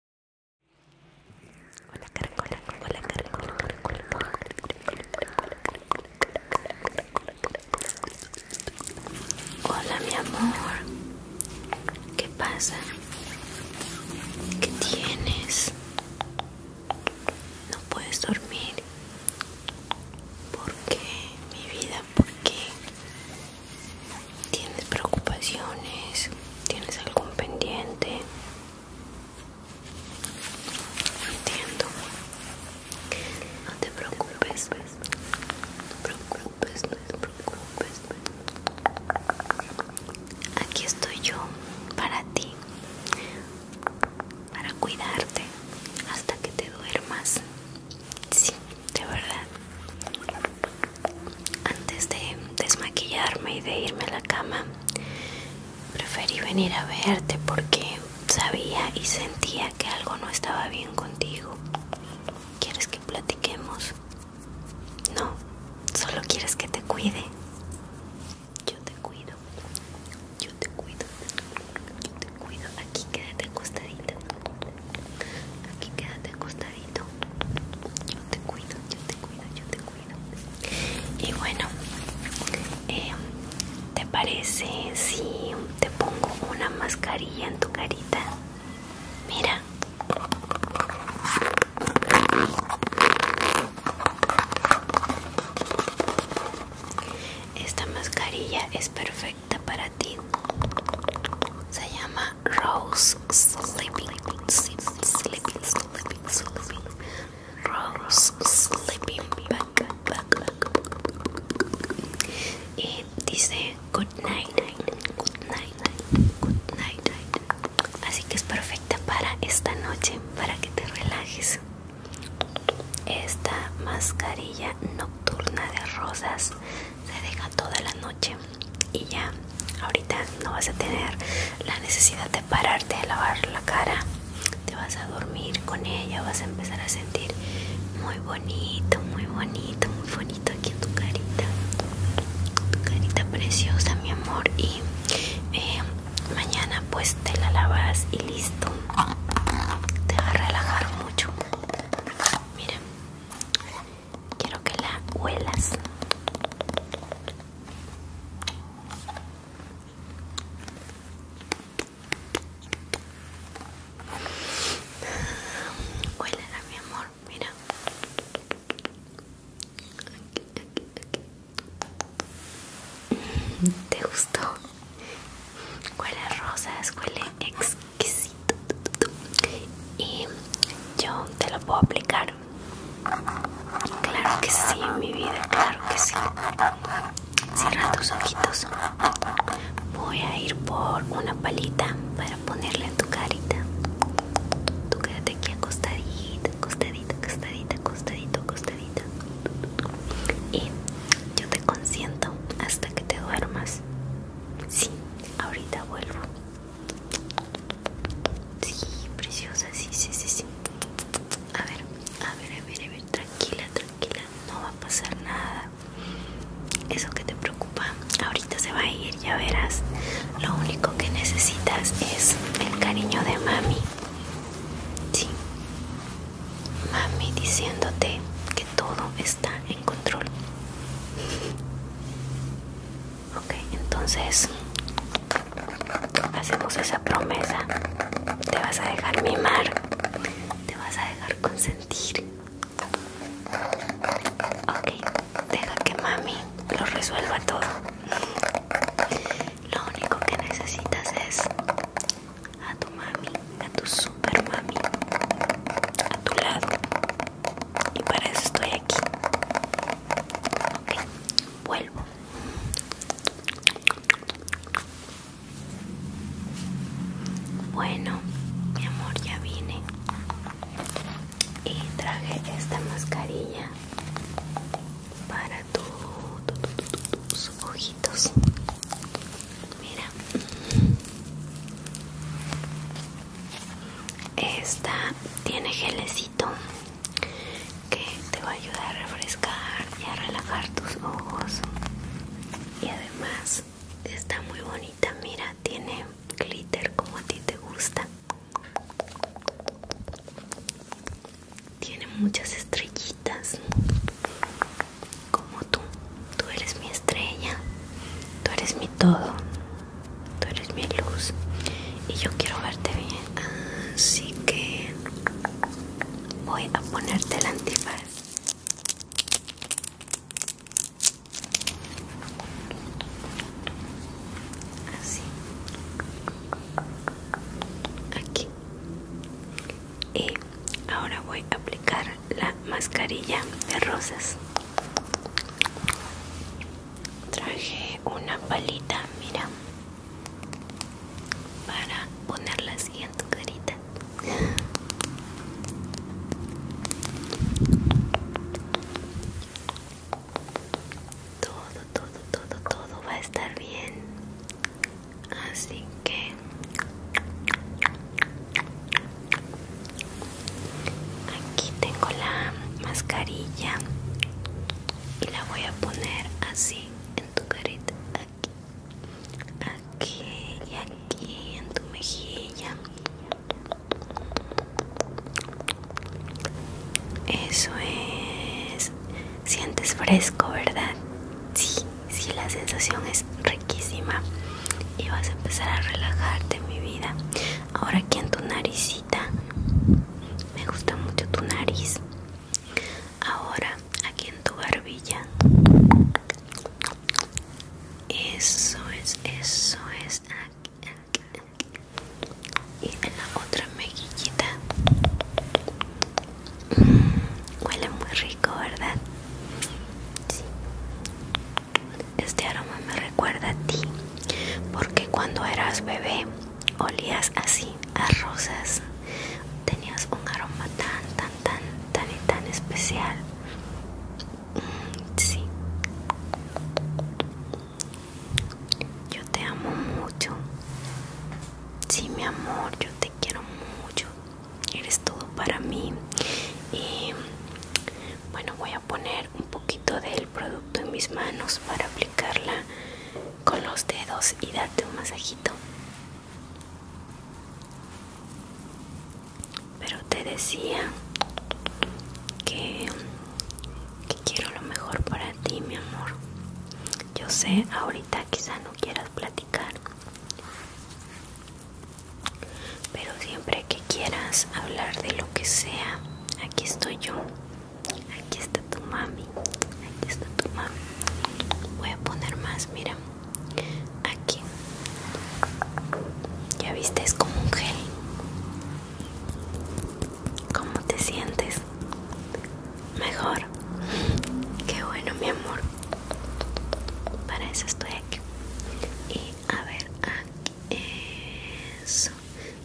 Hola hola mi amor, ¿qué pasa? ¿Qué tienes? No puedes dormir. ¿Por qué? Mi vida, ¿por qué? ¿Tienes preocupaciones? ¿Tienes algún pendiente? Entiendo. No te preocupes. No te preocupes, no te preocupes. Aquí estoy yo para ti. Para cuidarte hasta que te duermas. Sí, de verdad. Antes de desmaquillarme y de irme a la cama, preferí venir a verte porque sabía y sentía que algo no estaba bien contigo. ¿Quieres que platiquemos? No, solo quieres que te cuide. Yo te cuido, yo te cuido, yo te cuido. Aquí quédate acostadita. Aquí quédate acostadita. Yo te cuido, yo te cuido, yo te cuido. Y bueno, eh, ¿te parece si te pongo una mascarilla en tu carita? Mira. Esta mascarilla es perfecta para ti. Se llama Rose sleeping, sleeping, sleeping, sleeping, sleeping. Rose sleeping back, back, back. Y dice good night, good night, good night, night. Así que es perfecta para esta noche, para que te relajes. Esta mascarilla nocturna de rosas se deja toda la noche y ya ahorita no vas a tener la necesidad de pararte de lavar la cara te vas a dormir con ella vas a empezar a sentir muy bonito muy bonito muy bonito aquí en tu carita tu carita preciosa mi amor y eh, mañana pues te la lavas y listo te va a relajar mucho mira Quiero que la huelas. Huélala, mi amor, mira. ¿Te gustó? Huele a rosas, huele exquisito. Y yo te lo puedo aplicar Claro que sí, mi vida, claro que sí. Cierra tus ojitos. Voy a ir por una palita para ponerle en tu carita. Tú quédate aquí acostadita, acostadita, acostadita, acostadito, acostadita. Y yo te consiento hasta que te duermas. Sí, ahorita vuelvo. Sí, preciosa, sí, sí, sí, A ver, a ver, a ver, a ver, tranquila, tranquila, no va a pasar nada. Eso que te preocupa, ahorita se va a ir, ya verás. Lo único que necesitas es el cariño de mami. Sí. Mami diciéndote que todo está en control. Ok, entonces hacemos esa promesa. Te vas a dejar mimar, te vas a dejar consentir. Ok, deja que mami lo resuelva todo. Lo único que necesitas es a tu mami, a tu super mami, a tu lado. Y para eso estoy aquí vuelvo. Bueno, mi amor, ya vine. Y traje esta mascarilla para tu, tus ojitos. Mira. Esta tiene gelecito que te va a ayudar a refrescar y a relajar tus ojos y además está muy bonita mira tiene glitter como a ti te gusta tiene muchas estrellitas como tú tú eres mi estrella tú eres mi todo tú eres mi luz y yo quiero verte bien, así que voy a ponerte el antifaz. Así. Aquí. Y ahora voy a aplicar la mascarilla de rosas traje una palita mira para ponerla así en tu carita todo todo todo todo va a estar bien así que aquí tengo la mascarilla y la voy a poner así en tu carita aquí aquí y aquí en tu mejilla eso es sientes fresco verdad sí sí la sensación es riquísima y vas a empezar a relajarte mi vida ahora aquí en tu naricita me gusta mucho tu nariz. Ahora, aquí en tu barbilla. Eso es, eso es. Y en la otra mejillita. Mm, huele muy rico, ¿verdad? Sí. Este aroma me recuerda a ti, porque cuando eras bebé olías así a rosas tenías un aroma tan tan tan tan y tan especial mm, yo te amo mucho sí mi amor yo te quiero mucho eres todo para mí y bueno voy a poner un poquito del producto en mis manos para carla con los dedos y date un masajito. Pero te decía que quiero lo mejor para ti, mi amor. Yo sé, ahorita quizá no quieras platicar, pero siempre que quieras hablar de lo que sea, aquí estoy yo. Aquí está tu mami. Aquí está tu mami. Voy a poner más, mira. Aquí. Ya viste, es como un gel. ¿Cómo te sientes? Mejor. Qué bueno, mi amor. Para eso estoy aquí. Y a ver, aquí. Eso.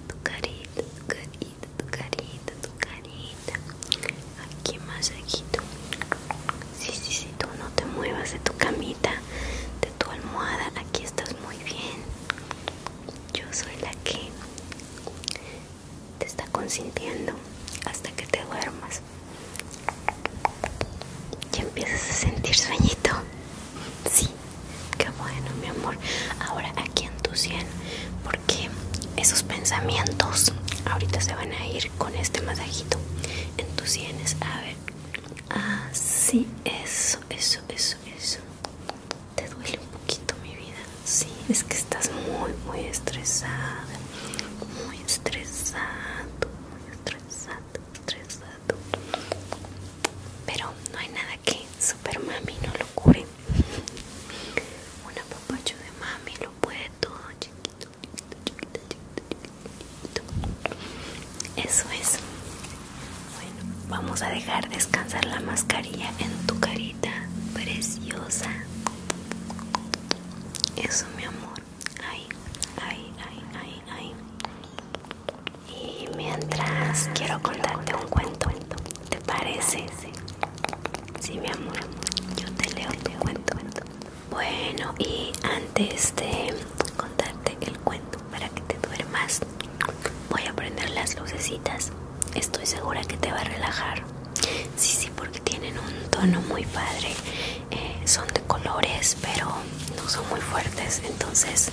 Tu carita, tu carita tu carita, tu carita. Aquí masajito. Sí, sí, sí, tú no te muevas de tu camita, de tu almohada. Aquí estás muy bien. Yo soy la que te está consintiendo hasta que te duermas. Ya empiezas a sentir sueñito. Sí. Qué bueno, mi amor. Ahora aquí en tu sien, porque esos pensamientos ahorita se van a ir con este masajito en tus sienes. A ver, así, eso, eso, eso, eso. Te duele un poquito, mi vida. Sí, es que estás muy, muy estresada. Muy estresada, muy estresado, estresada. Pero no hay nada que Super Mami no lo cure. Una papacho de mami lo puede todo, chiquito, chiquito, chiquito, chiquito, chiquito. Eso es. Bueno, vamos a dejar descansar la mascarilla en tu carita preciosa. Eso, mi amor. Ay, ay, ay, ay, ay. Y mientras quiero contarte un cuento. ¿Te parece? Sí, mi amor. Yo te leo, te cuento. Bueno, y antes de contarte el cuento para que te duermas, voy a prender las lucecitas. Estoy segura que te va a relajar. Sí, sí, porque tienen un tono muy padre. Eh, son de colores, pero no son muy fuertes. Entonces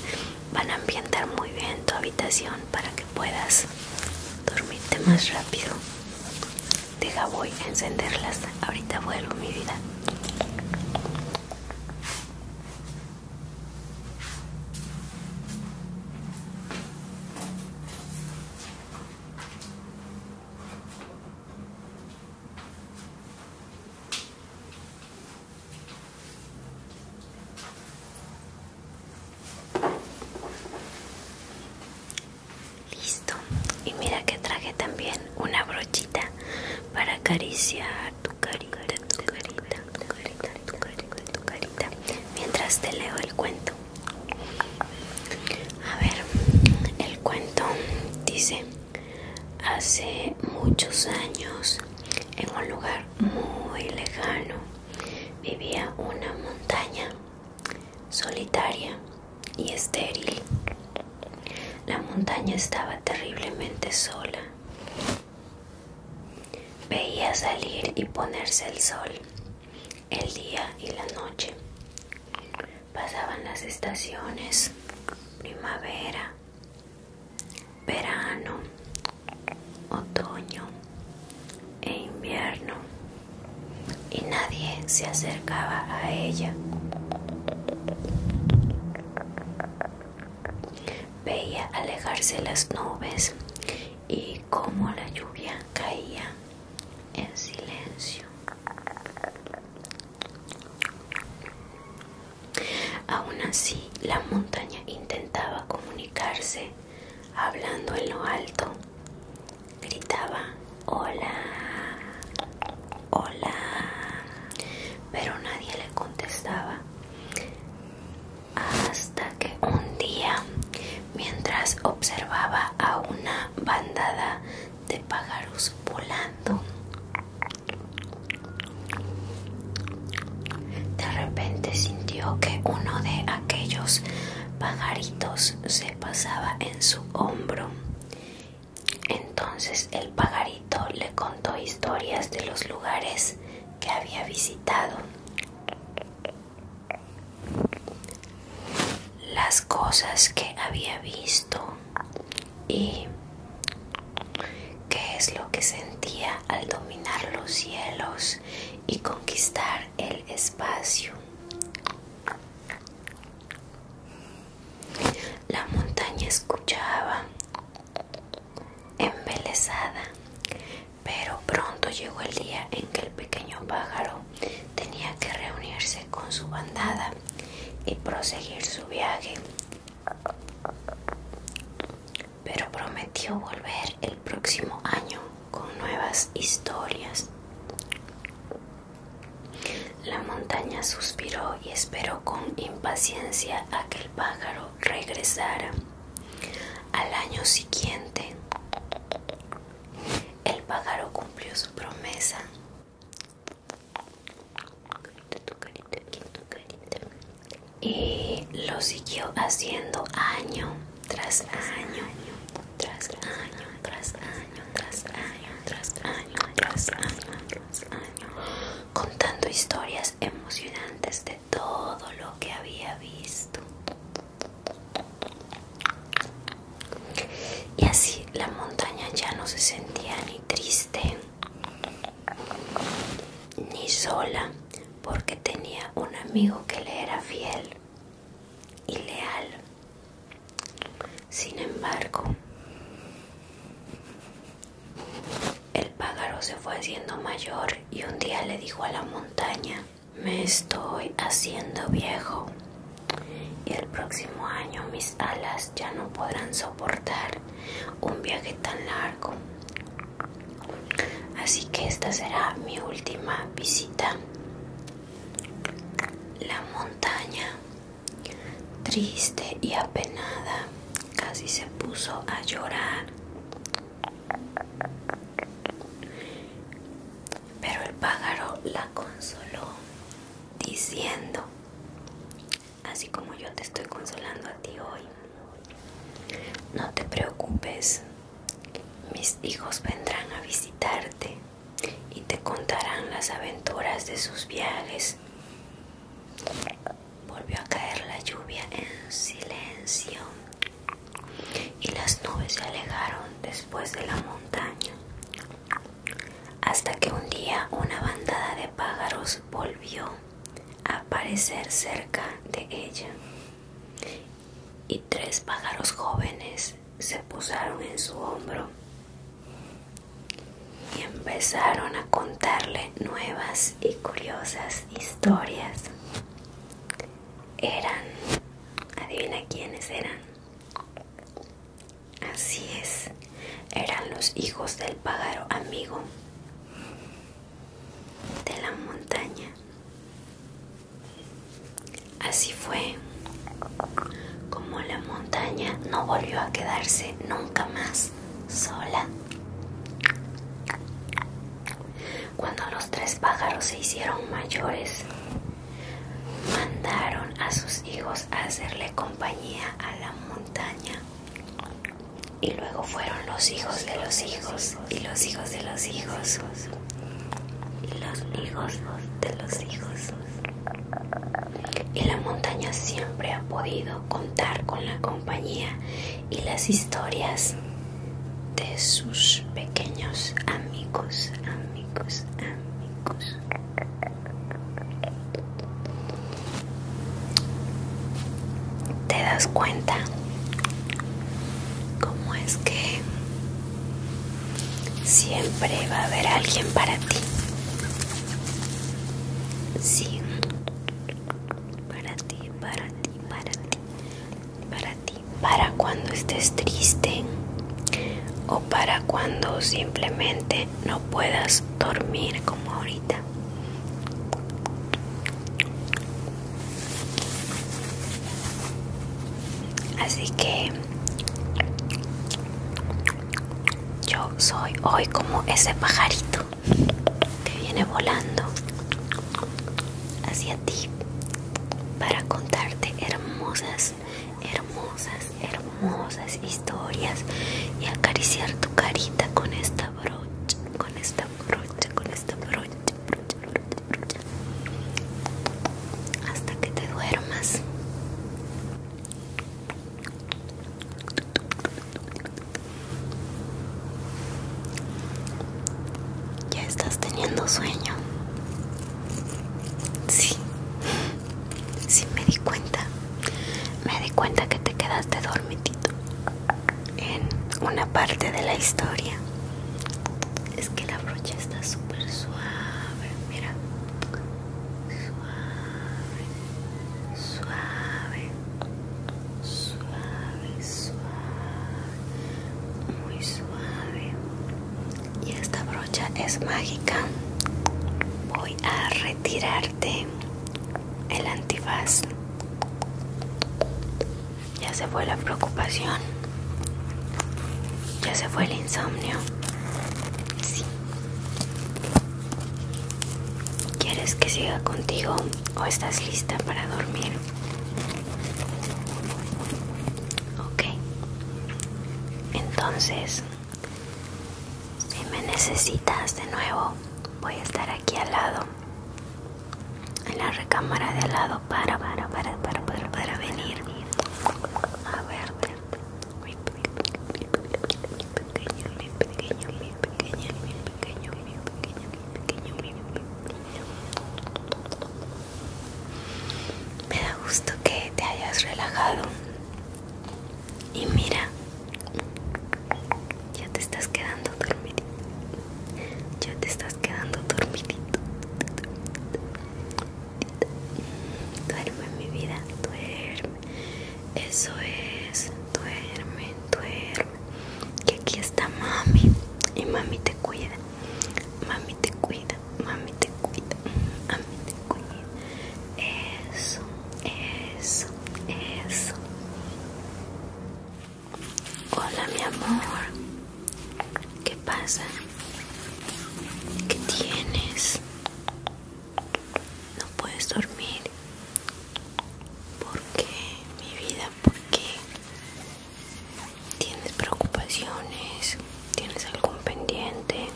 van a ambientar muy bien tu habitación para que puedas dormirte más rápido. Deja, voy a encenderlas. Ahorita vuelvo, mi vida. Listo. Y mira que traje también una brochita para acariciar tu carita, tu carita, Mientras te leo el cuento. A ver, el cuento dice, hace muchos años, en un lugar muy lejano, vivía una montaña solitaria y estéril. La montaña estaba terriblemente sola. Veía salir y ponerse el sol, el día y la noche. Pasaban las estaciones, primavera, verano, otoño e invierno y nadie se acercaba a ella. Veía alejarse las nubes y cómo la lluvia caía en silencio. Aún así, la montaña intentaba comunicarse hablando en lo alto. Gritaba, hola, hola, pero nadie le contestaba. Hasta que un día, mientras observaba a una bandada de pájaros volando, de repente sintió que uno de aquellos pajaritos se pasaba en su hombro. Entonces el pajarito le contó historias de los lugares que había visitado. Las cosas que había visto y qué es lo que sentía al dominar los cielos y conquistar el espacio. La montaña escuchaba, embelesada, pero pronto llegó el día en que el pequeño pájaro tenía que reunirse con su bandada y proseguir su viaje pero prometió volver el próximo año con nuevas historias. La montaña suspiró y esperó con impaciencia a que el pájaro regresara. Al año siguiente, el pájaro cumplió su promesa. Y lo siguió haciendo año tras año, tras año, tras año, tras año, tras año, tras año, tras contando historias emocionantes de todo lo que había visto. Y así la montaña ya no se sentía ni triste ni sola porque tenía un amigo que le era fiel y leal. Sin embargo, el pájaro se fue haciendo mayor y un día le dijo a la montaña, me estoy haciendo viejo y el próximo año mis alas ya no podrán soportar un viaje tan largo. Así que esta será mi última visita. La montaña, triste y apenada, casi se puso a llorar. Pero el pájaro la consoló diciendo, así como yo te estoy consolando a ti hoy, no te preocupes, mis hijos vendrán a visitarte y te contarán las aventuras de sus viajes. Volvió a caer la lluvia en silencio y las nubes se alejaron después de la montaña, hasta que un día una bandada de pájaros volvió a aparecer cerca de ella y tres pájaros jóvenes se posaron en su hombro y empezaron a contarle nuevas y curiosas historias. Eran, adivina quiénes eran. Así es, eran los hijos del pájaro amigo de la montaña. Así fue como la montaña no volvió a quedarse nunca más sola. Cuando los tres pájaros se hicieron mayores, mandaron a sus hijos a hacerle compañía a la montaña. Y luego fueron los hijos de los hijos y los hijos de los hijos y los hijos de los hijos. Y la montaña siempre ha podido contar con la compañía y las historias de sus pequeños amigos, amigos, amigos. ¿Te das cuenta cómo es que Siempre va a haber alguien para ti. Sí. Para ti, para ti, para ti. Para ti. Para cuando estés triste o para cuando simplemente no puedas dormir como ahorita. Así que yo soy hoy como ese pajarito que viene volando hacia ti para contarte hermosas, hermosas, hermosas historias y acariciar tu carita con esta brocha, con esta brocha, con esta brocha, brocha, hasta que te duermas. Ya estás teniendo sueño. Sí, sí me di cuenta. Me di cuenta que te quedaste dormitito en una parte de la historia es que la brocha está súper suave mira suave suave suave suave muy suave y esta brocha es mágica voy a retirarte el antifaz ya se fue la preocupación. Ya se fue el insomnio. Sí. ¿Quieres que siga contigo o estás lista para dormir? Ok. Entonces, si me necesitas de nuevo, voy a estar aquí al lado. En la recámara de al lado para, para, para, para, para, para venir a verte. Mi pequeño, mi pequeño, mi pequeño, mi pequeño, mi pequeño, mi pequeño, mi pequeño. Me da gusto que te hayas relajado. Y mira, ya te estás quedando dormidito. Ya te estás quedando dormidito. Duerme mi vida, duerme. Eso es, duerme, duerme. Que aquí está mami. Y mami te cuida. Mami te cuida, mami te cuida. Mami te cuida. Eso, eso, eso. Hola mi amor. ¿Qué pasa? ¿Qué tienes? No puedes dormir. ¿Por qué? Mi vida, ¿por qué? ¿Tienes preocupaciones? ¿Tienes algún pendiente?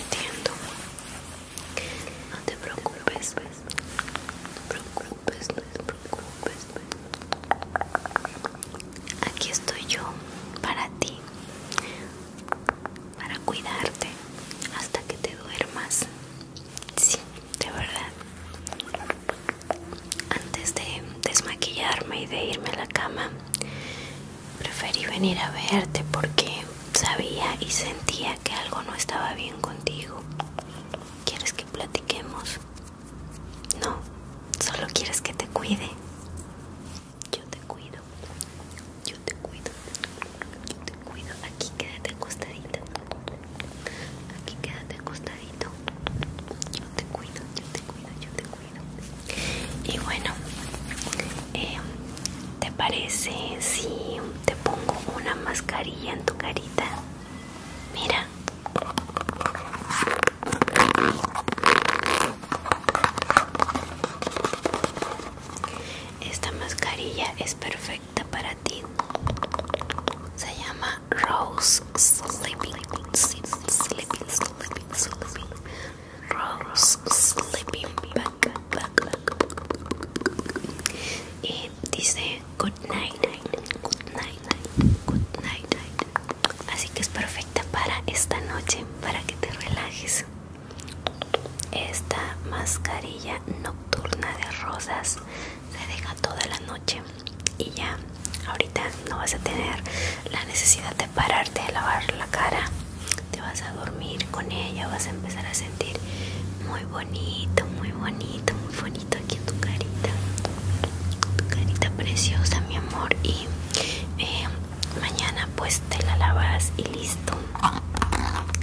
Entiendo. No te preocupes, No te preocupes. Pues no te preocupes. Aquí estoy yo para ti, para cuidarte hasta que te duermas. Sí, de verdad. Antes de desmaquillarme y de irme a la cama, preferí venir a verte porque sabía y sentía que algo no estaba bien contigo. ¿Quieres que platiquemos? No, solo quieres que te cuide. Yo te cuido. Yo te cuido. Yo te cuido. Aquí quédate acostadito Aquí quédate acostadito. Yo te cuido, yo te cuido, yo te cuido. Y bueno, em, ¿te parece si te pongo una mascarilla en tu carita? Mira, esta mascarilla es perfecta para ti. Se llama Rose Sleeping Sleeping Sleeping Sleeping, Rose Sleeping Black back, back. Y dice Good night, good night, good night. Así que es perfecta para esta noche, para que te relajes. Esta mascarilla nocturna de rosas se deja toda la noche y ya ahorita no vas a tener la necesidad de pararte de lavar la cara. Te vas a dormir con ella, vas a empezar a sentir muy bonito, muy bonito, muy bonito aquí en tu carita tu carita preciosa mi amor y eh, mañana pues te la lavas y listo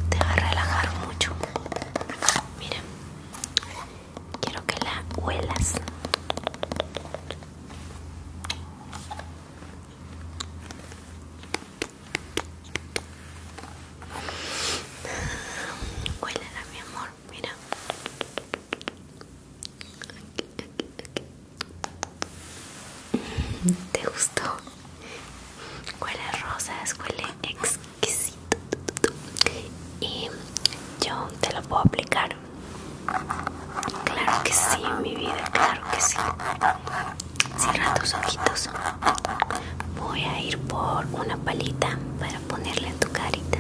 te va a relajar mucho mira quiero que la huelas Huélala mi amor, mira ¿Te gustó? Huele a rosas, huele exquisito Y yo te lo puedo aplicar Claro que sí, mi vida, claro que sí Cierra tus ojitos Voy a ir por una palita para ponerle en tu carita.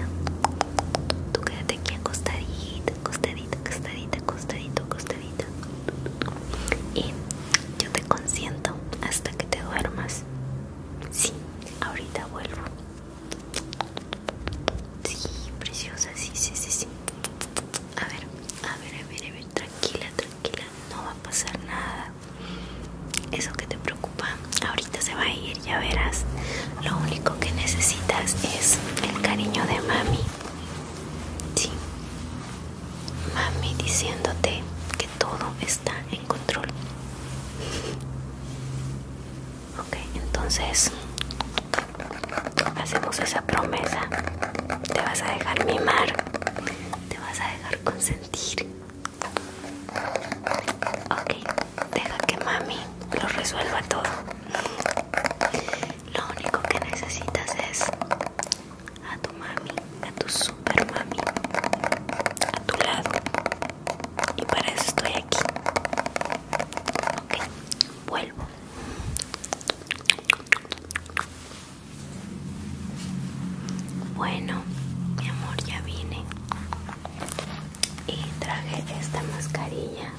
Tú quédate aquí acostadita, acostadita, acostadita, acostadito, acostadita. Y yo te consiento hasta que te duermas. Sí, ahorita vuelvo. Sí, preciosa, sí, sí, sí, si A ver, a ver, a ver, a ver, tranquila, tranquila, no va a pasar nada. Eso que te ahorita se va a ir, ya verás. Lo único que necesitas es el cariño de mami. Sí. Mami diciéndote que todo está en control. Ok, entonces hacemos esa promesa. Te vas a dejar mimar. Te vas a dejar consentir. Ok, deja que mami lo resuelva todo. Lo único que necesitas es a tu mami, a tu super mami, a tu lado. Y para eso estoy aquí. Ok, vuelvo. Bueno, mi amor, ya vine y traje esta mascarilla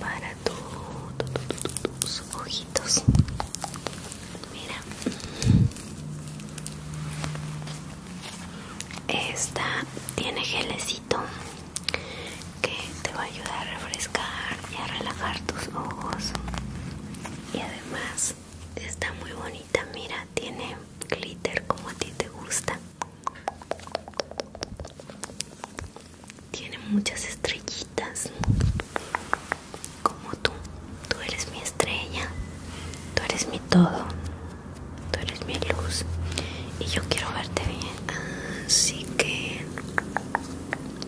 para tus ojitos mira esta tiene gelecito que te va a ayudar a refrescar y a relajar tus ojos y además está muy bonita mira tiene glitter como a ti te gusta tiene muchas estrellitas, como tú. Tú eres mi estrella, tú eres mi todo, tú eres mi luz y yo quiero verte bien. Así que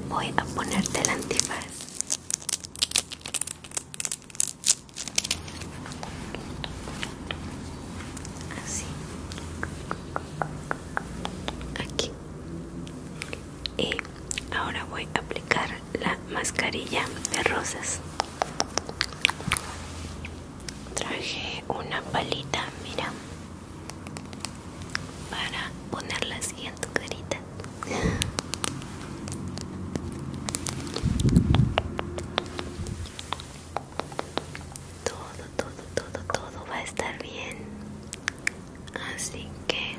voy a ponerte el antifaz así aquí y ahora voy a aplicar la mascarilla de rosas traje una palita mira para ponerla así en tu carita todo todo todo todo va a estar bien así que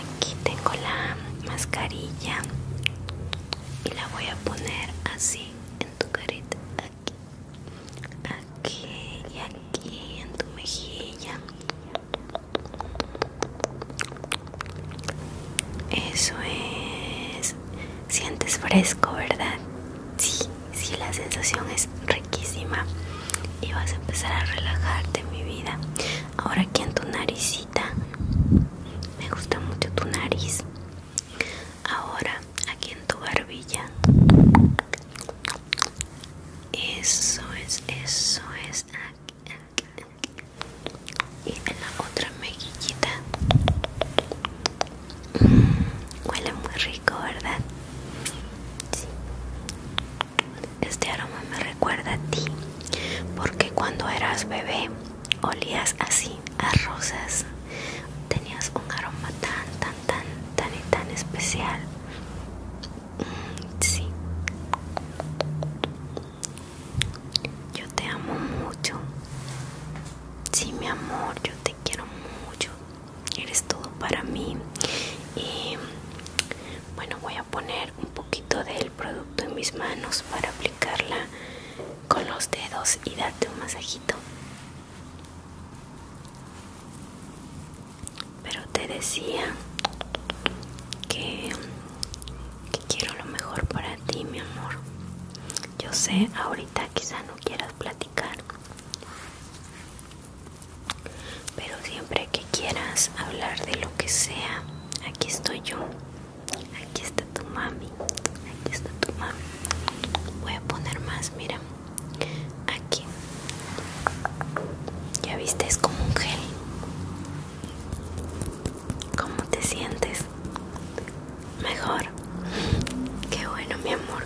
aquí tengo la mascarilla y la voy a poner así en tu carita aquí aquí y aquí en tu mejilla eso es. Sientes fresco, ¿verdad? Sí, la sensación es riquísima. Y vas a empezar a relajarte, mi vida. Ahora aquí en tu naricita. Me gusta mucho tu nariz. Ahora aquí en tu barbilla. Eso es, eso es y en la otra mejillita mm, huele muy rico verdad sí. este aroma me recuerda a ti porque cuando eras bebé olías así a rosas tenías un aroma tan tan tan tan y tan especial mm, sí yo te amo mucho. Sí, mi amor, yo te quiero mucho. Eres todo para mí. Y bueno, voy a poner un poquito del producto en mis manos para aplicarla con los dedos y darte un masajito. Pero te decía que que quiero lo mejor para ti, mi amor. Yo sé, ahorita quizá no quieras platicar, pero siempre que quieras hablar de lo que sea, aquí estoy yo. Aquí está tu mami. Aquí está tu mami. Voy a poner más, mira. Aquí. Ya viste, es como un gel. ¿Cómo te sientes? Mejor. Qué bueno, mi amor.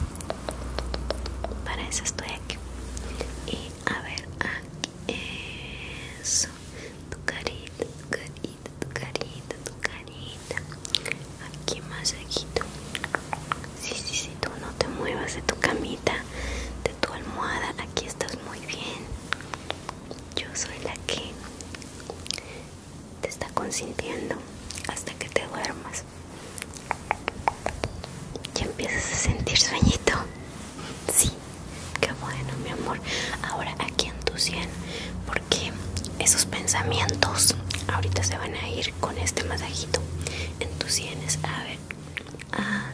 Para eso estoy aquí. Y a ver, aquí. Eso. Tu carita, tu carita, tu carita, tu carita. Aquí masajito. Sí, sí, sí, tú no te muevas de tu camita, de tu almohada. Aquí estás muy bien yo soy la que te está consintiendo hasta que te duermas ya empiezas a sentir sueñito sí qué bueno mi amor ahora aquí en tu sien porque esos pensamientos ahorita se van a ir con este masajito en tus sienes a ver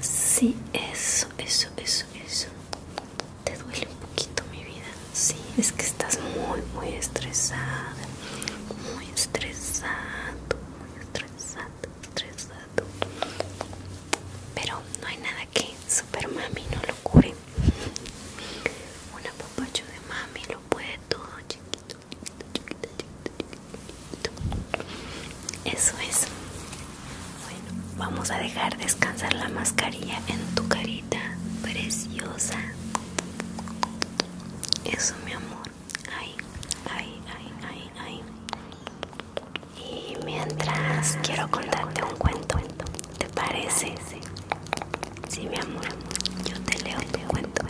así ah, eso eso eso eso te duele un poquito mi vida sí es que estás muy muy estresada muy estresado muy estresado estresado pero no hay nada que super mami no lo cure una papacho de mami lo puede todo chiquito chiquito chiquito chiquito, chiquito. eso es bueno, vamos a dejar descansar la mascarilla en tu carita preciosa. Eso, mi amor. Ay, ay, ay, ay, Y mientras quiero contarte un cuento, ¿te parece? Sí, mi amor, yo te leo el cuento.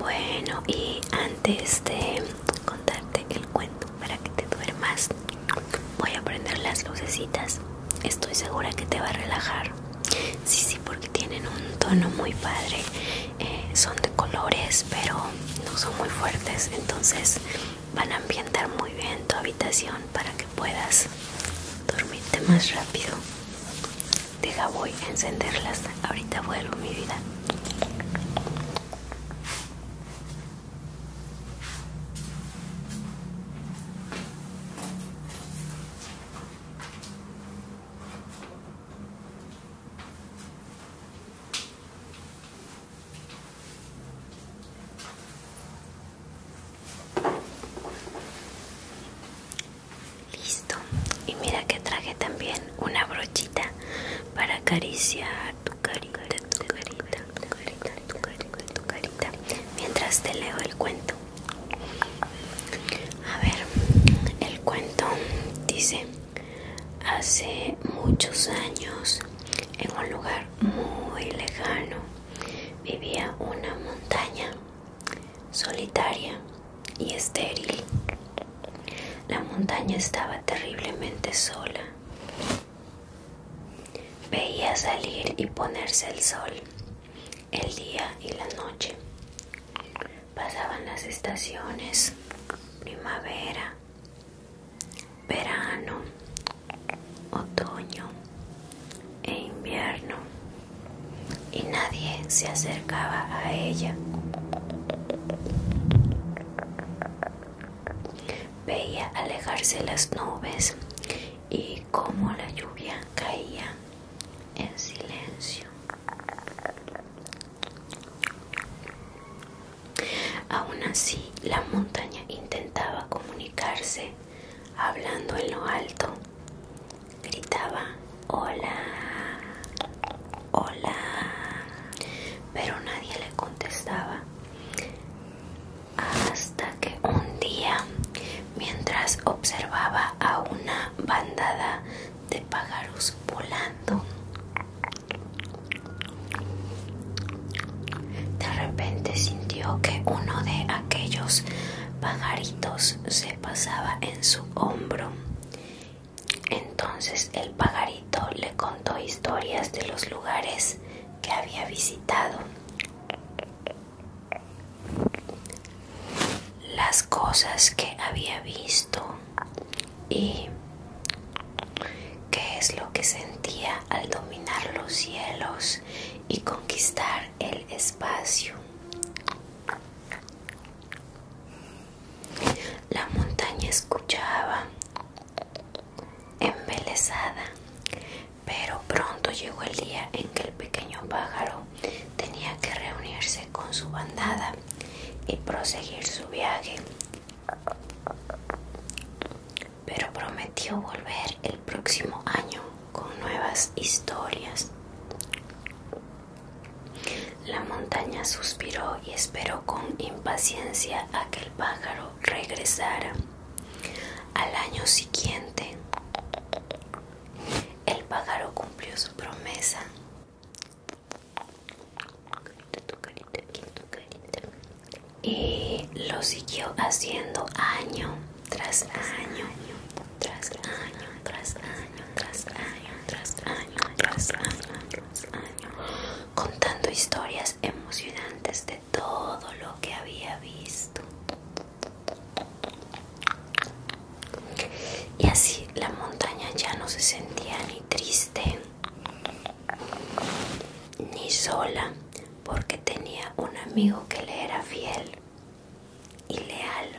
Bueno, y antes de contarte el cuento, para que te duermas. Voy a prender las lucecitas. Estoy segura que te va a relajar. Sí, sí, porque tienen un tono muy padre. Eh, son de colores, pero no son muy fuertes. Entonces van a ambientar muy bien tu habitación para que puedas dormirte más rápido. Deja, voy a encenderlas. Ahorita vuelvo mi vida. Listo. Y mira que traje también una brochita para acariciar tu carita, tu carita, mientras te leo el cuento. A ver, el cuento dice, hace muchos años, en un lugar muy lejano, vivía una montaña solitaria y estéril. La montaña estaba terriblemente sola Veía salir y ponerse el sol, el día y la noche. Pasaban las estaciones, primavera, verano, otoño e invierno, y nadie se acercaba a ella. Veía alejarse las nubes y como la lluvia caía en silencio. Aún así, la montaña intentaba comunicarse hablando en lo alto. Gritaba, hola, hola, pero nadie le contestaba hasta que un día, mientras observaba a una bandada de pájaros volando, de repente sintió que uno de aquellos pajaritos se pasaba en su hombro. Entonces el pajarito le contó historias de los lugares que había visitado las cosas que había visto y qué es lo que sentía al dominar los cielos y conquistar el espacio. La montaña escuchaba, embelesada, pero pronto llegó el día en que el pequeño pájaro tenía que reunirse con su bandada y proseguir su viaje. Pero prometió volver el próximo año con nuevas historias. La montaña suspiró y esperó con impaciencia a que el pájaro regresara. Al año siguiente, el pájaro cumplió su promesa. Y lo siguió haciendo año tras año, tras año, tras año, tras año, tras año, año, tras año, contando historias emocionantes de todo lo que había visto. Y así la montaña ya no se sentía ni triste ni sola porque tenía un amigo que le era fiel y leal.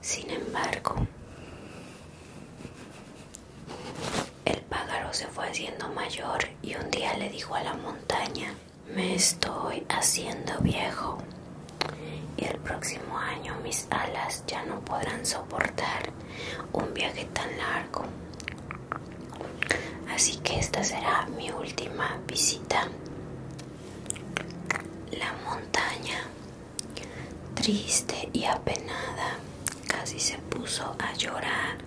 Sin embargo, el pájaro se fue haciendo mayor y un día le dijo a la montaña, me estoy haciendo viejo y el próximo año mis alas ya no podrán soportar un viaje tan largo. Así que esta será mi última visita. La montaña, triste y apenada, casi se puso a llorar.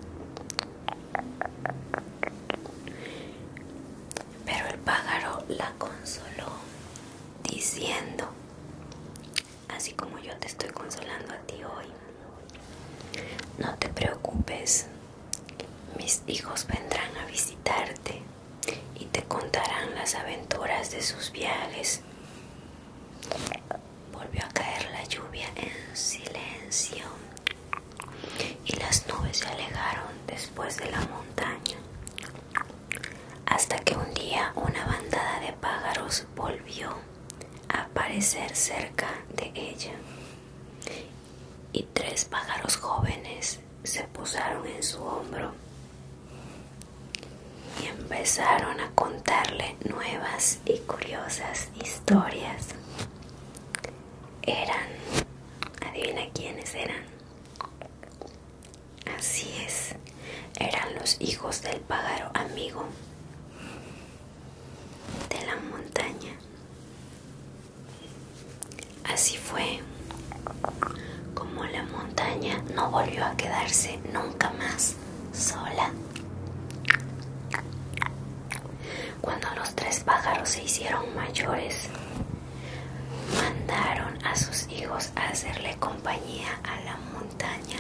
Pero el pájaro la consoló diciendo, así como yo te estoy consolando a ti hoy, no te preocupes, mis hijos vendrán a visitarte y te contarán las aventuras de sus viajes. Volvió a caer la lluvia en silencio y las nubes se alejaron después de la montaña, hasta que un día una bandada de pájaros volvió a aparecer cerca de ella y tres pájaros jóvenes se posaron en su hombro y empezaron a contarle nuevas y curiosas historias eran, adivina quiénes eran. Así es, eran los hijos del pájaro amigo de la montaña. Así fue como la montaña no volvió a quedarse nunca más sola. Cuando los tres pájaros se hicieron mayores, mandaron a sus hijos a hacerle compañía a la montaña.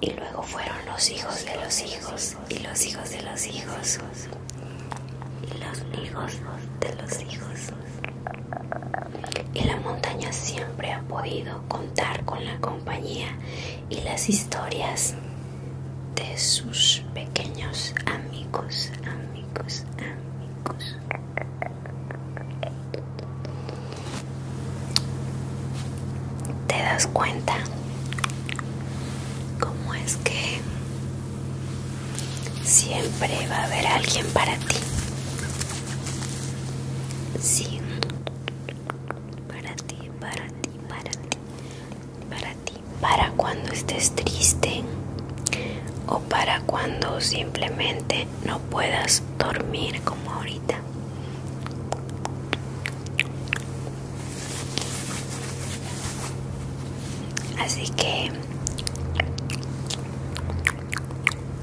Y luego fueron los hijos de los hijos, y los hijos de los hijos, y los hijos de los hijos. Y la montaña siempre ha podido contar con la compañía y las historias de sus pequeños amigos, amigos, amigos. ¿Te das cuenta cómo es que siempre va a haber alguien para ti? Sí. Para ti, para ti, para ti, para ti, para cuando estés triste o para cuando simplemente no puedas dormir como ahorita. Así que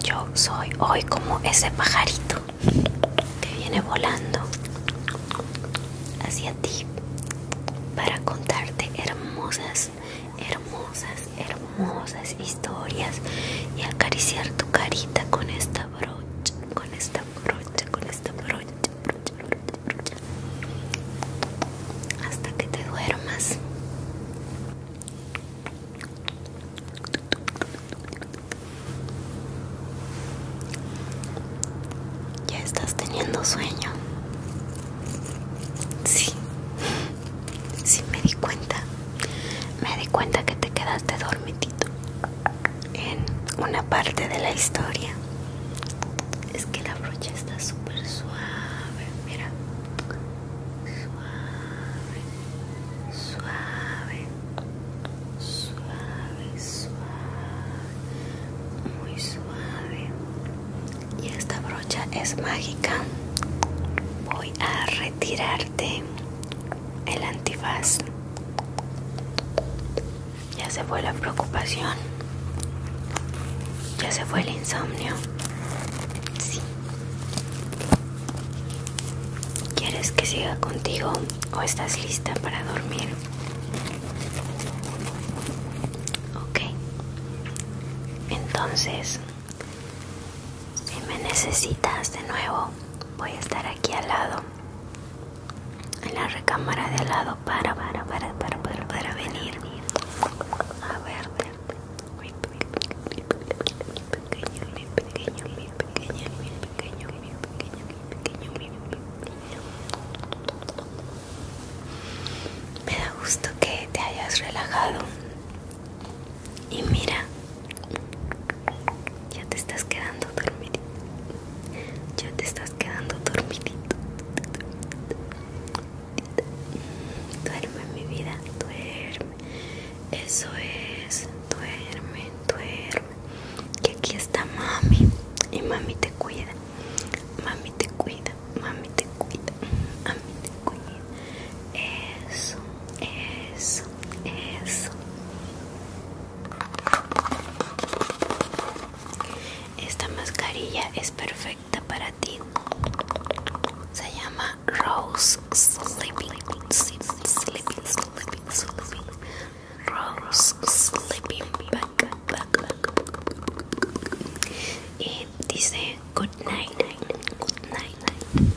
yo soy hoy como ese pajarito que viene volando hacia ti para contarte hermosas, hermosas, hermosas historias y acariciar tu carita con esta brocha, con esta brocha, con esta brocha, hasta que te duermas. ¿Ya estás teniendo sueño? Sí, sí me di cuenta. Me di cuenta que te quedaste dormitito en una parte de la historia. Es que la brocha está súper suave, mira. Suave, suave, suave suave, muy suave. Y esta brocha es mágica. Voy a retirarte el antifaz. Ya se fue la preocupación. Ya se fue el insomnio. Sí. ¿Quieres que siga contigo o estás lista para dormir? Ok, entonces, si me necesitas de nuevo, voy a estar aquí al lado, en la recámara de al lado, para, para, para, para, para, para venir a verte. pequeño, pequeño, pequeño, mi pequeño, mi pequeño, mi pequeño, mi pequeño, mi pequeño. Me da gusto que te hayas relajado. Y mira, ya te estás quedando dormidito. Ya te estás quedando dormidito. Duerme mi vida, duerme. Eso es, duerme, duerme. Que aquí está mami y mami te cuida. Mami te cuida, mami te cuida, mami te cuida. Eso, eso, eso. Esta mascarilla es perfecta para ti. Se llama Rose Sleeping, Sleeping, Sleeping, Rose Sleeping Back, back, Y dice good night, good night,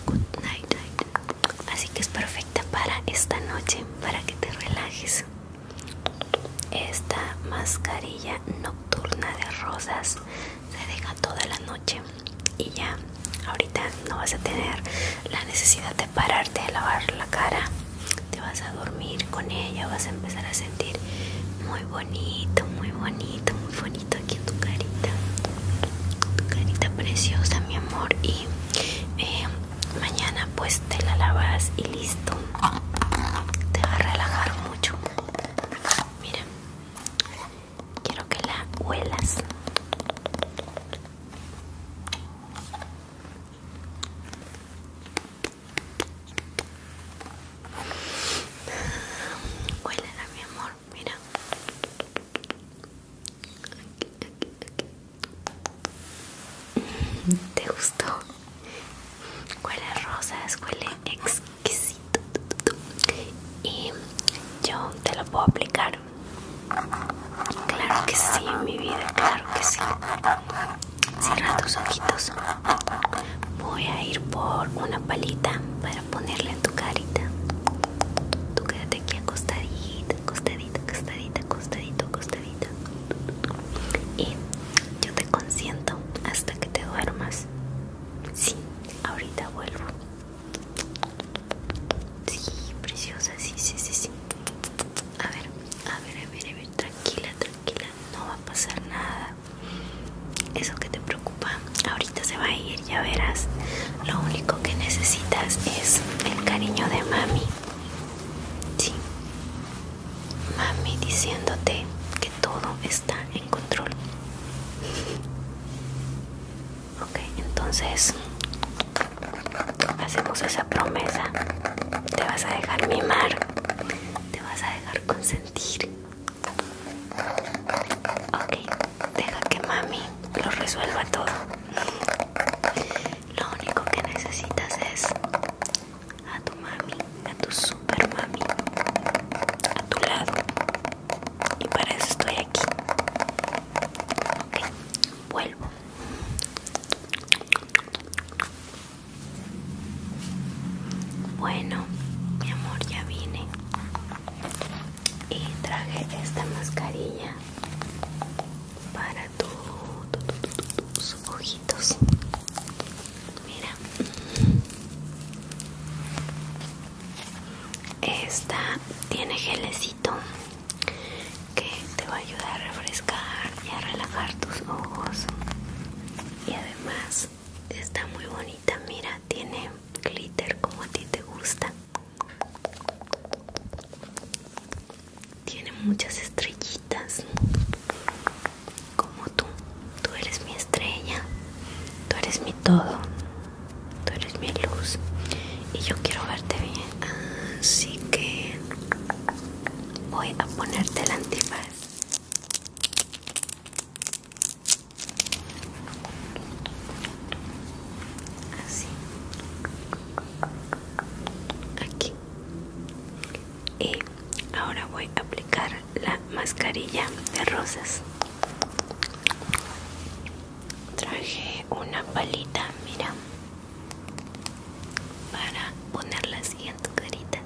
good night, night. Así que es perfecta para esta noche, para que te relajes. Esta mascarilla nocturna de rosas se deja toda la noche y ya ahorita no vas a tener la necesidad de pararte a lavar la cara te vas a dormir con ella, vas a empezar a sentir muy bonito, muy bonito, muy bonito aquí en tu carita, tu carita preciosa, mi amor. Y eh, mañana, pues te la lavas y listo, te va a relajar mucho. Mira, quiero que la huelas a mi amor, mira. ¿Te gustó? Huele a rosas, huele exquisito. Y yo te lo puedo aplicar. Claro que sí, mi vida, claro que sí. Cierra tus ojitos. Voy a ir por una palita para ponerla en tu carita. Tú quédate aquí acostadita, acostadita, acostadita, acostadito, acostadita. Y yo te consiento hasta que te duermas. Sí, ahorita vuelvo. Sí, preciosa, sí, sí, sí, sí. A ver, a ver, a ver, a ver, tranquila, tranquila, no va a pasar nada. Eso que te preocupa, ahorita se va a ir, ya verás. Lo único que necesitas es el cariño de mami. Sí. Mami diciéndote que todo está en control. Ok, entonces hacemos esa promesa. Te vas a dejar mimar te vas a dejar consentir. Ok, deja que mami lo resuelva todo. Lo único que necesitas es a tu mami, a tu super mami, a tu lado. Y para eso estoy aquí. Ok, vuelvo. Bueno, mi amor, ya vine y traje esta mascarilla para tus ojitos. Mira, esta tiene gelecito que te va a ayudar a refrescar y a relajar tus ojos y además está muy bonita mira tiene glitter como a ti te gusta tiene muchas estrellitas como tú tú eres mi estrella tú eres mi todo tú eres mi luz y yo quiero verte bien así que voy a ponerte el antifaz así aquí y ahora voy a aplicar la mascarilla de rosas traje una palita mira para ponerla así en tu carita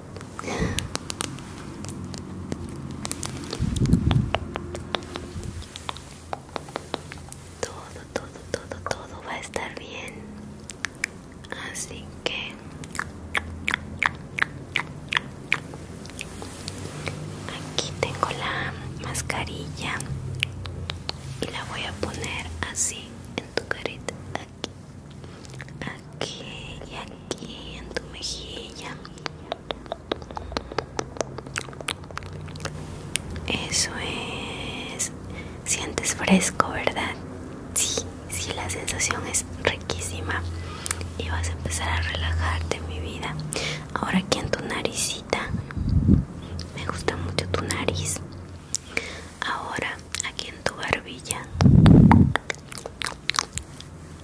todo todo todo todo va a estar bien así que aquí tengo la mascarilla y la voy a poner así en tu carita aquí, y aquí en tu mejilla. Eso es. Sientes fresco, ¿verdad? Sí, sí, la sensación es riquísima. Y vas a empezar a relajarte, mi vida. Ahora aquí en tu naricita. Me gusta mucho tu nariz. Ahora aquí en tu barbilla.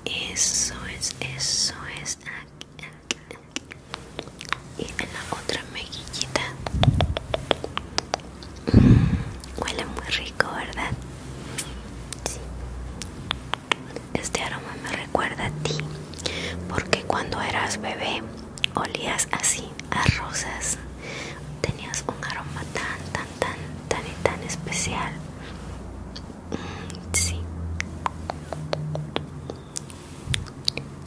Eso es, eso es. Y en la otra mejillita. Mm, huele muy rico, ¿verdad? Sí. Este aroma me recuerda a ti, porque cuando eras bebé olías así a rosas. Tenías un aroma Tanta tan tan y tan especial mm, sí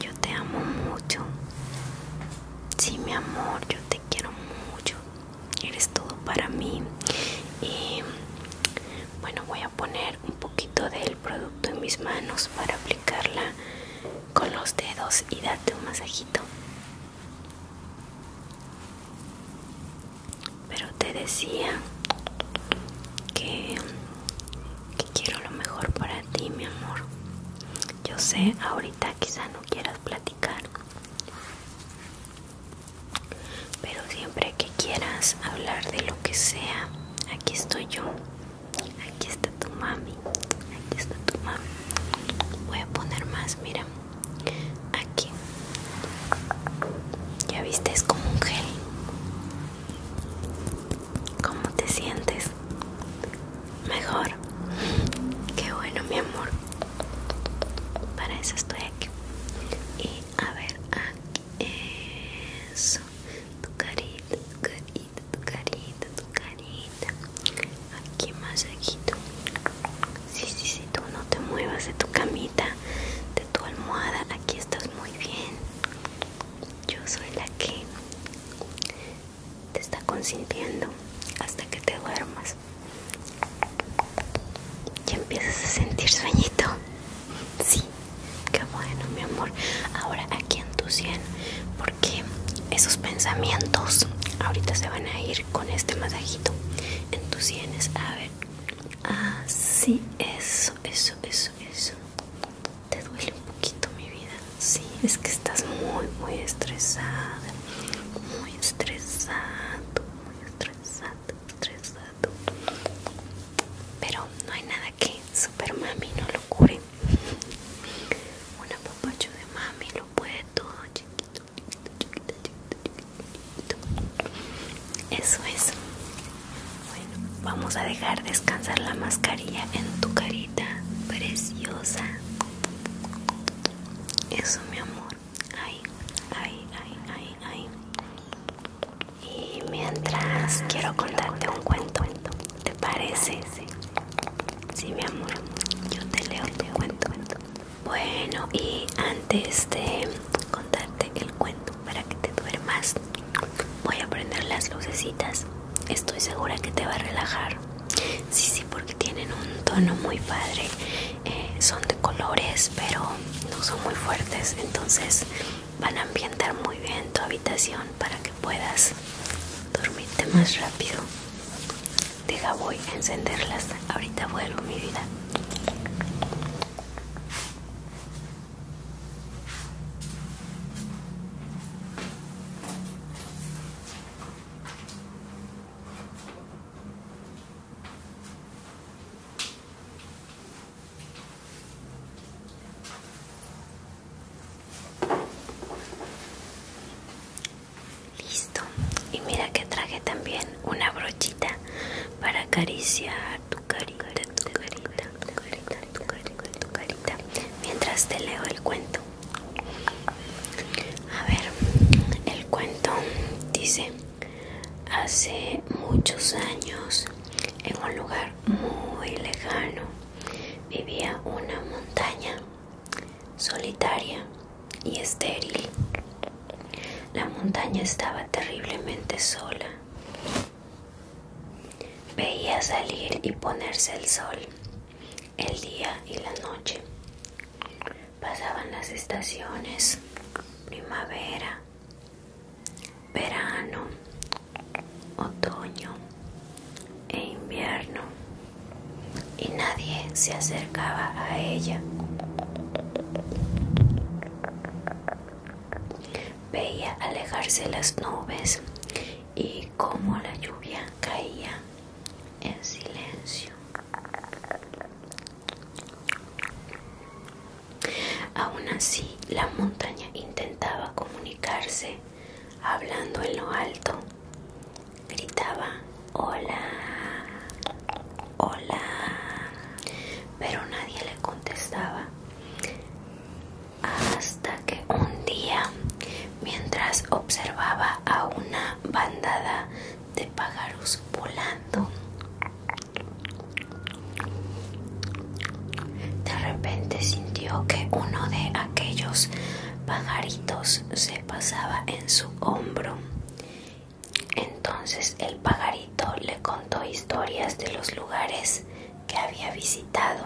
yo te amo mucho sí mi amor yo te quiero mucho eres todo para mí y bueno voy a poner un poquito del producto en mis manos para aplicarla con los dedos y darte un masajito pero te decía que, quiero lo mejor para ti, mi amor. Yo sé, ahorita quizá no quieras platicar. Pero siempre que quieras hablar de lo que sea, aquí estoy yo. Aquí está tu mami. Aquí está tu mami. Voy a poner más, mira aquí ya viste es como un gel ¿Cómo te sientes? Mejor. Qué bueno, mi amor. Para eso estoy aquí. Y a ver, aquí. Eso. Tu carita, tu carita, tu carita, tu carita aquí masajito sí sí sí tú no te muevas de tu camita de tu almohada aquí estás muy bien yo soy la que te está consintiendo hasta que te duermas ya empiezas a sentir sueñito sí qué bueno mi amor ahora aquí en tu sien porque esos pensamientos ahorita se van a ir con este masajito en tus sienes. A ver. Así, eso, eso, eso, eso. Te duele un poquito mi vida. Sí, es que estás muy, muy estresada. Muy estresado, muy estresado, estresado. Pero no hay nada que Super Mami no lo cure. Una papacho de mami lo puede todo, chiquito. Eso es. Bueno, vamos a dejar descansar la mascarilla en tu carita preciosa. Eso, mi amor. Ay, ay, ay, ay, ay. Y mientras quiero contarte un cuento, ¿te parece? Sí, mi amor. Yo te leo, te cuento. Bueno, y antes de contarte el cuento para que te duermas, voy a prender las lucecitas. Estoy segura que te va a relajar. Sí, sí, porque tienen un tono muy padre. Eh, son de colores, pero no son muy fuertes. Entonces van a ambientar muy bien tu habitación para que puedas dormirte más rápido. Deja, voy a encenderlas. Ahorita vuelvo, mi vida. Listo. Y mira que traje también una brochita para acariciar tu carita, tu carita, tu Mientras te leo el cuento. A ver, el cuento dice, hace muchos años, en un lugar muy lejano, vivía una montaña solitaria y estéril. La montaña estaba terriblemente sola. Veía salir y ponerse el sol, el día y la noche. Pasaban las estaciones, primavera, verano, otoño e invierno y nadie se acercaba a ella. Veía alejarse las nubes y cómo la lluvia caía en silencio. Aún así, la montaña intentaba comunicarse, hablando en lo alto, gritaba Hola, hola, pero nadie le contestaba. Hasta que un día, mientras observaba a una bandada de pájaros volando, de repente sintió que uno de aquellos pajaritos se pasaba en su hombro entonces el pajarito le contó historias de los lugares que había visitado.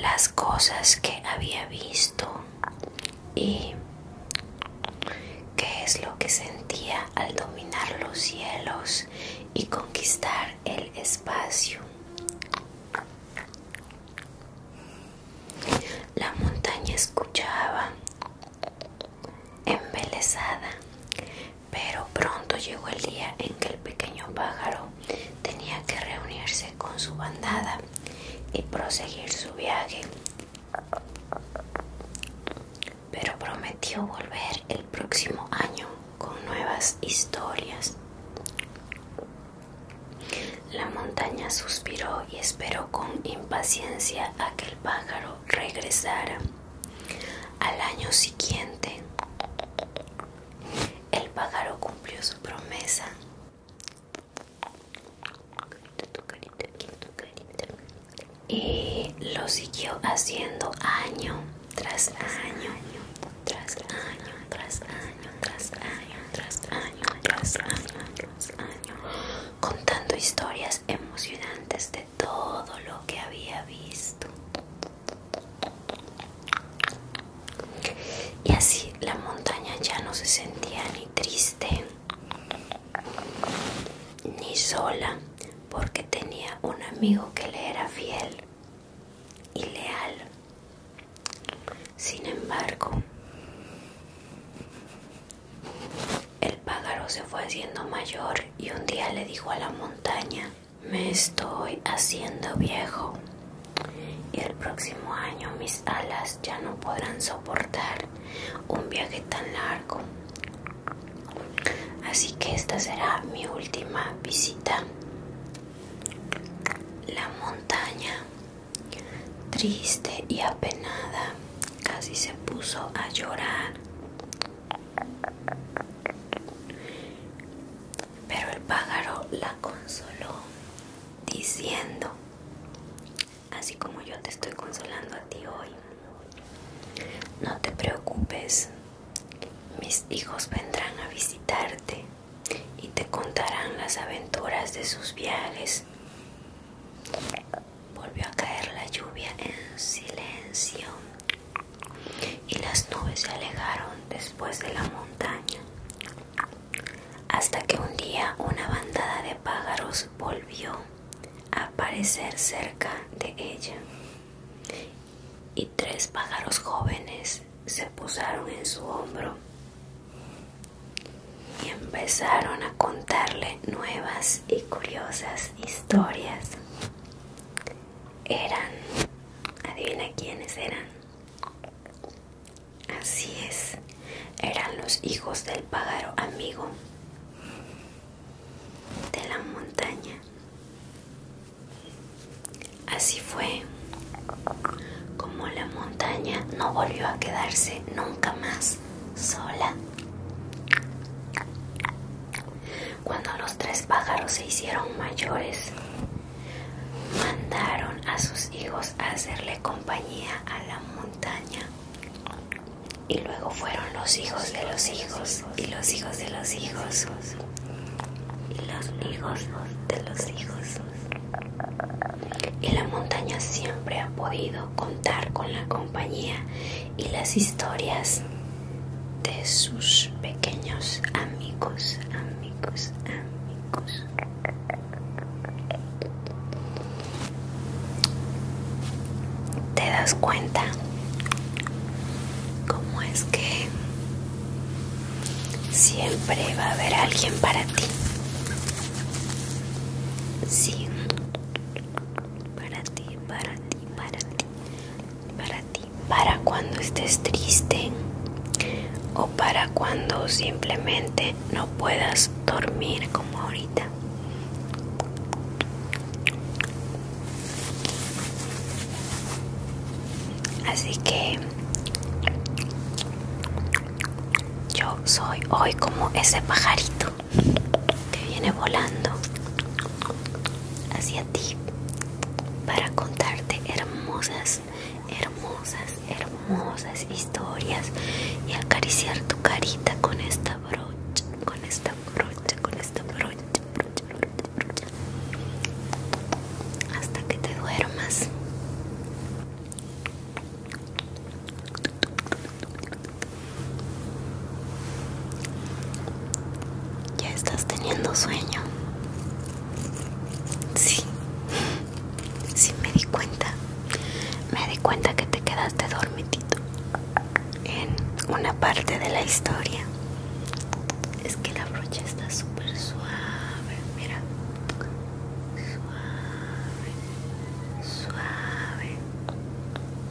Las cosas que había visto y qué es lo que sentía al dominar los cielos y conquistar el espacio. La montaña escuchaba, embelesada, pero pronto llegó el día en que el pequeño pájaro tenía que reunirse con su bandada y proseguir su viaje. Pero prometió volver el próximo año con nuevas historias. La montaña suspiró y esperó con impaciencia a que el pájaro regresara. Al año siguiente, el pájaro cumplió su promesa. Y lo siguió haciendo año tras año, tras año, tras año tras tras año tras año tras año contando historias emocionantes de todo lo que había visto y así la montaña ya no se sentía ni triste ni sola porque tenía un amigo que le era fiel y leal sin embargo, el pájaro se fue haciendo mayor y un día le dijo a la montaña, me estoy haciendo viejo y el próximo año mis alas ya no podrán soportar un viaje tan largo. Así que esta será mi última visita. La montaña Triste y apenada, casi se puso a llorar. Pero el pájaro la consoló diciendo, así como yo te estoy consolando a ti hoy, no te preocupes, mis hijos vendrán a visitarte y te contarán las aventuras de sus viajes. Volvió a caer la lluvia en silencio y las nubes se alejaron después de la montaña, hasta que un día una bandada de pájaros volvió a aparecer cerca de ella y tres pájaros jóvenes se posaron en su hombro y empezaron a contarle nuevas y curiosas historias. Eran, adivina quiénes eran. Así es, eran los hijos del pájaro amigo de la montaña. Así fue como la montaña no volvió a quedarse nunca más sola. Cuando los tres pájaros se hicieron mayores, mandaron a sus hijos a hacerle compañía a la montaña. Y luego fueron los hijos de los hijos y los hijos de los hijos y los hijos de los hijos. Y la montaña siempre ha podido contar con la compañía y las historias de sus pequeños amigos, amigos, amigos. ¿Te das cuenta cómo es que siempre va a haber alguien para ti? Para ti, para ti, para ti. Para ti. Para cuando estés triste o para cuando simplemente no puedas dormir como ahorita. Así que yo soy hoy como ese pajarito que viene volando hacia ti para contarte hermosas, hermosas, hermosas historias y acariciar tu carita con esta brocha, con esta brocha, con esta brocha, brocha, brocha, brocha hasta que te duermas. Ya estás teniendo sueño. Sí, sí me di cuenta. Me di cuenta que te quedaste dormitito en una parte de la historia. Es que la brocha está súper suave, mira suave,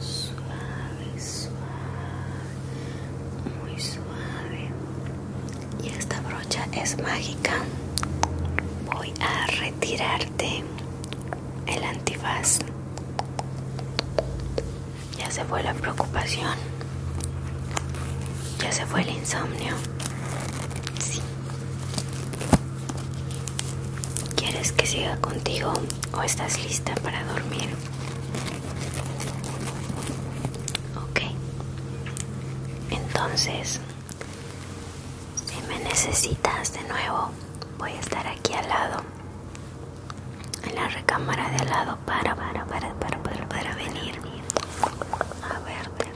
suave, suave, suave, muy suave. Y esta brocha es mágica. Voy a retirarte el antifaz. Ya se fue la preocupación. Ya se fue el insomnio. Sí. ¿Quieres que siga contigo o estás lista para dormir? Ok. Entonces, si me necesitas de nuevo, voy a estar aquí al lado. En la recámara de al lado para para para para venir a verte. Me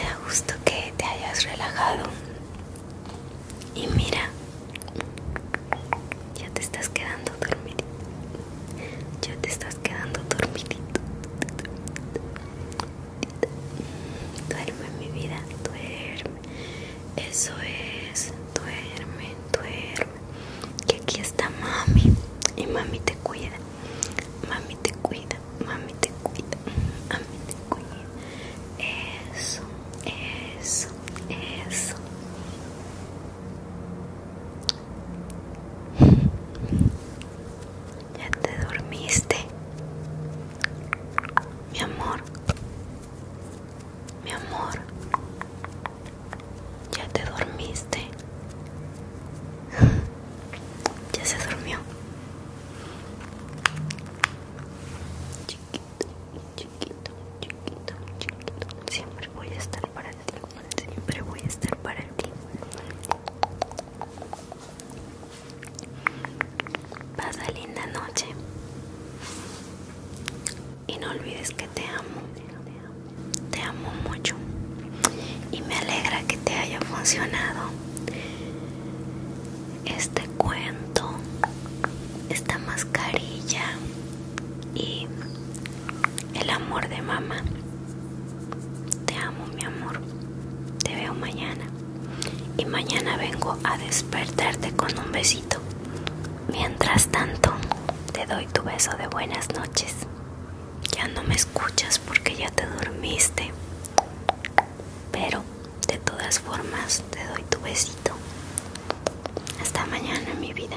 da gusto que te hayas relajado. Y mira, ya te estás quedando dormidito. Ya te estás quedando dormidito. Duerme mi vida, duerme. Eso es, duerme, duerme. Que aquí está mami. Y mami te cuida. Mami te cuida, mami te cuida. Mami te cuida. Eso, eso, eso. Ya te dormiste, mi amor. Mi amor, ¿ya te dormiste? ya se durmió. Chiquito, chiquito, chiquito, chiquito. Siempre voy a estar para ti. Siempre voy a estar para ti. Pasa linda noche. Y no olvides que te amo. Te amo mucho. Y me alegra que te haya funcionado. Este cuento, esta mascarilla y el amor de mamá. Te amo, mi amor. Te veo mañana y mañana vengo a despertarte con un besito. Mientras tanto, te doy tu beso de buenas noches. Ya no me escuchas porque ya te dormiste. Pero de todas formas, te doy tu besito. Hasta mañana, mi vida.